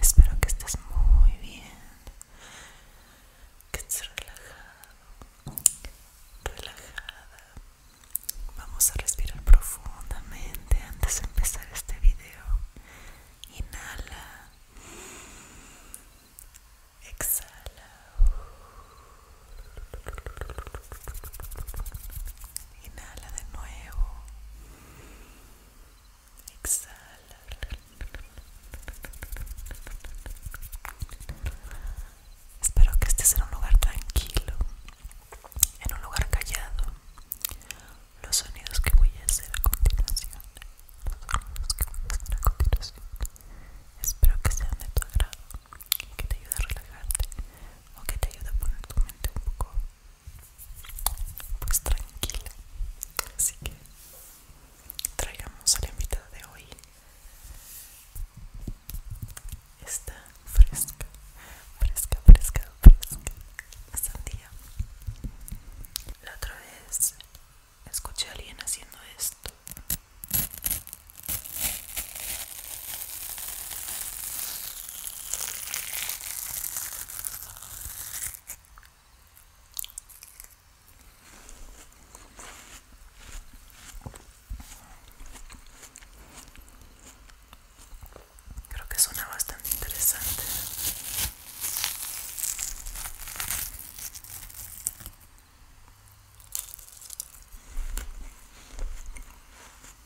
Espero que estés muy bien, que estés relajado, relajada. Vamos a respirar profundamente antes de empezar este video. Inhala, exhala. Inhala de nuevo. Exhala. Espero que estés en un lugar tranquilo, en un lugar callado. Los sonidos que voy a hacer a continuación, los sonidos que a continuación, espero que sean de tu agrado que te ayude a relajarte o que te ayude a poner tu mente un poco pues tranquila. Así que traigamos a la invitada de hoy. Esta fresca, fresca, fresca, fresca. Sandía. La otra vez escuché a alguien haciendo esto. Creo que suena bastante interesante.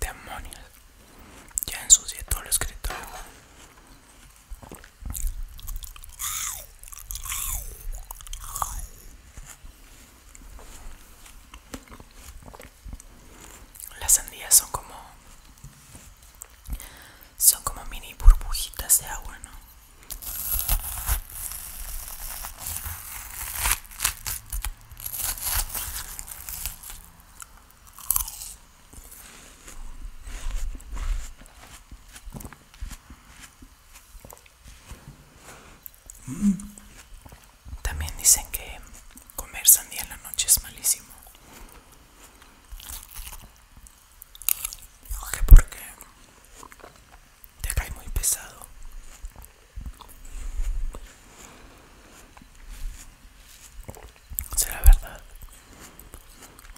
Demonios, ya ensucié todo lo escrito Las sandías son como son como mini burbujitas de agua, ¿no? Mm. También dicen que comer sandía en la noche es malísimo. ¿Por porque te cae muy pesado será verdad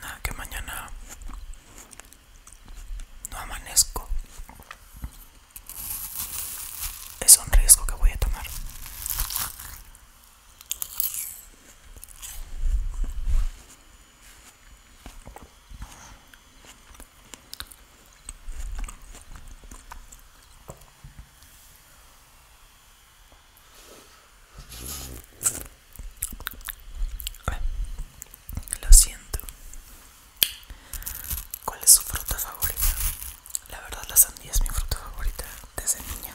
nada que mañana no amanezco es un riesgo que voy a tomar lo siento. ¿Cuál es su fruta favorita? La verdad la sandía es mi fruta favorita desde niña.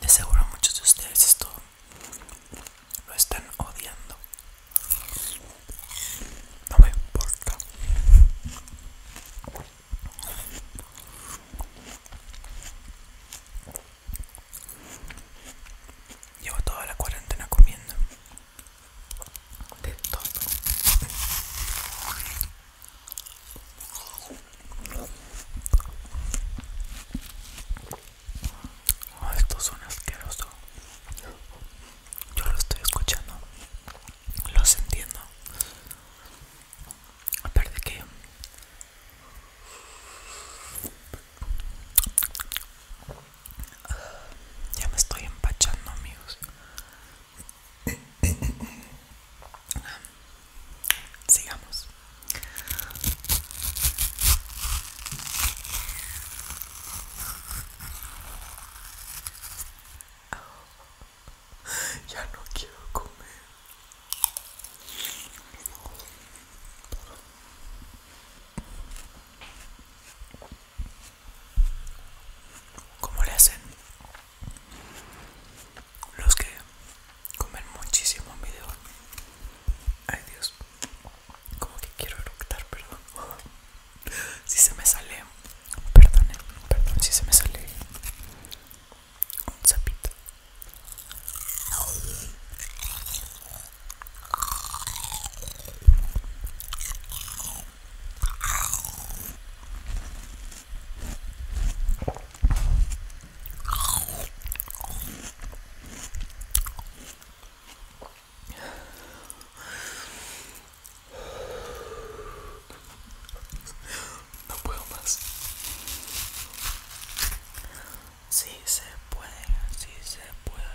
De seguro muchos de ustedes esto lo están odiando. No me importa. Llevo toda la cuarentena comiendo de todo. Oh, esto Yo lo estoy escuchando, los entiendo. de que ya me estoy empachando, amigos. Sigamos. Ya no quiero comer como le hacen los que comen muchísimo video ay dios como que quiero eructar perdón si se me sale perdón perdón si se me sale un zapito No puedo más. Sí se puede, sí se puede.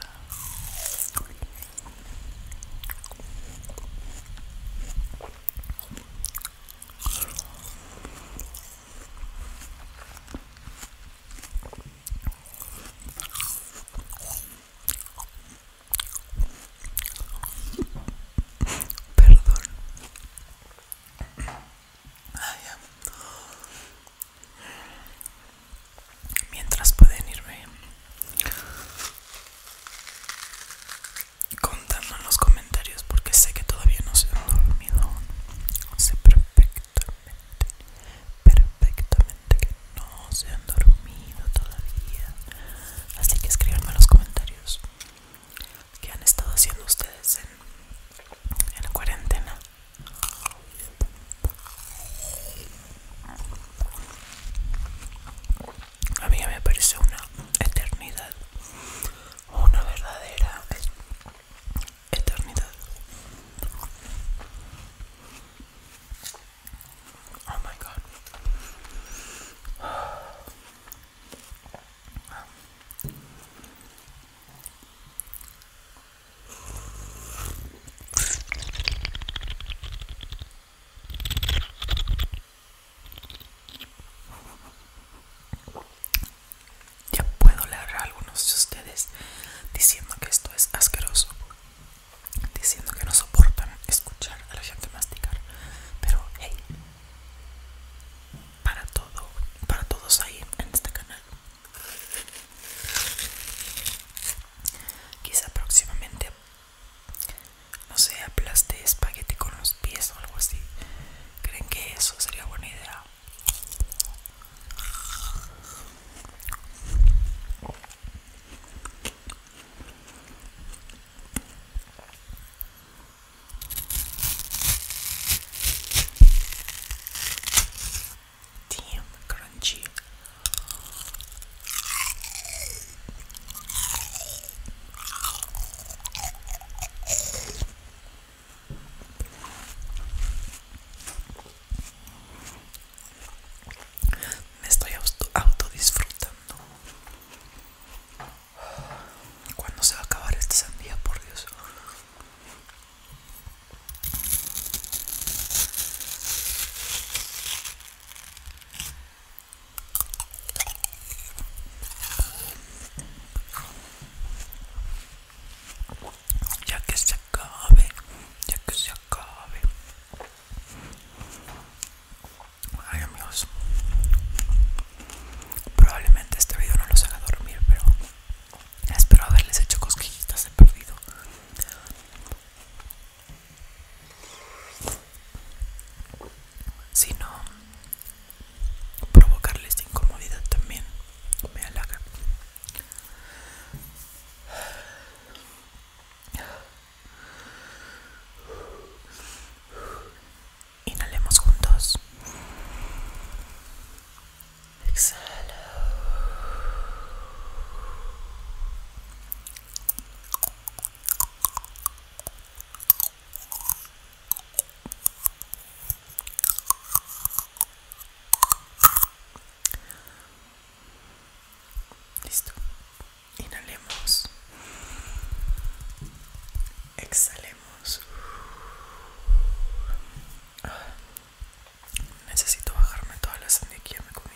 Perdón. Mientras pueden irme Contando en los comentarios porque sé que todavía no se han dormido. Sé perfectamente, perfectamente que no se han dormido todavía. Así que escribanme en los comentarios qué han estado haciendo ustedes en la cuarentena a mí me parece una eternidad una verdadera eternidad oh my god ya puedo leer a algunos de ustedes diciendo que esto es asqueroso, diciendo que no soportan escuchar a la gente masticar, pero hey, para todo, para todos ahí en este canal. Quizá próximamente no sé, aplaste espagueti con los pies o algo así. ¿Creen que eso sería buena idea? crunchy. Me estoy autodisfrutando. ¿Cuándo se va a acabar este sandía, por Dios? Ya que se acabe, ya que se acabe. Ay amigos, probablemente este video no los haga dormir, pero espero haberles hecho cosquillitas de perdido sino esta incomodidad también me halaga inhalemos juntos exhala Listo. Inhalemos. Exhalemos. Ah, necesito bajarme toda la sangre que me comí.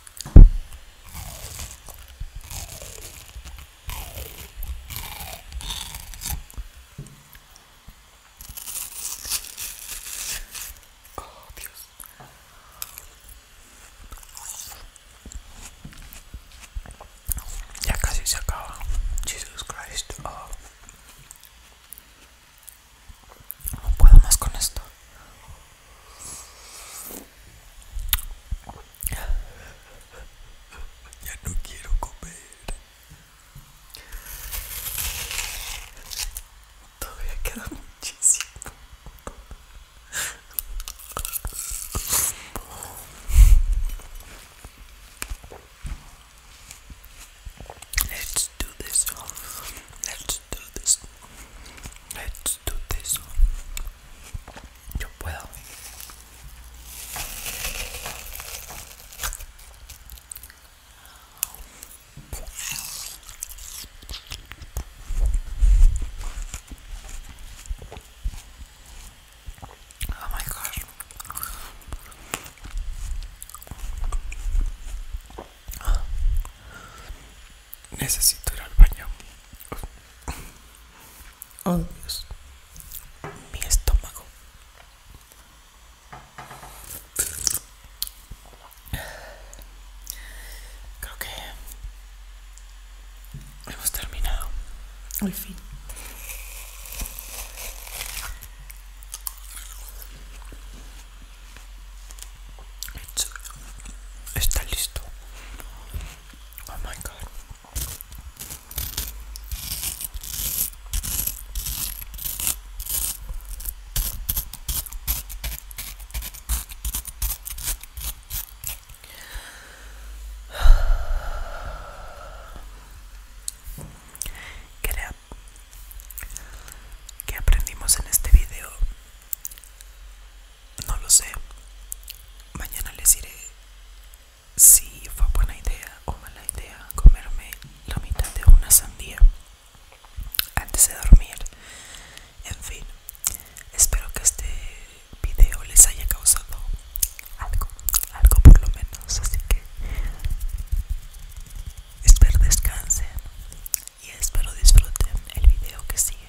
Oh, Dios. Ya casi se acaba. Jesús Cristo. Oh. No puedo más con esto. Ya no quiero comer. Todavía queda muchísimo. Let's do this. Let's do this. Let's do this yo puedo. Oh my god. Necesito ir al baño. Oh, oh mi estómago. Creo que hemos terminado. Al fin. Está listo. Oh my god. ¿Qué aprendimos en este video? No lo sé. Mañana les diré si fue buena idea o mala idea comerme la mitad de una sandía antes de dormir. En fin, espero que este video les haya causado algo, algo por lo menos. Así que espero descanse y espero disfruten el video que sigue.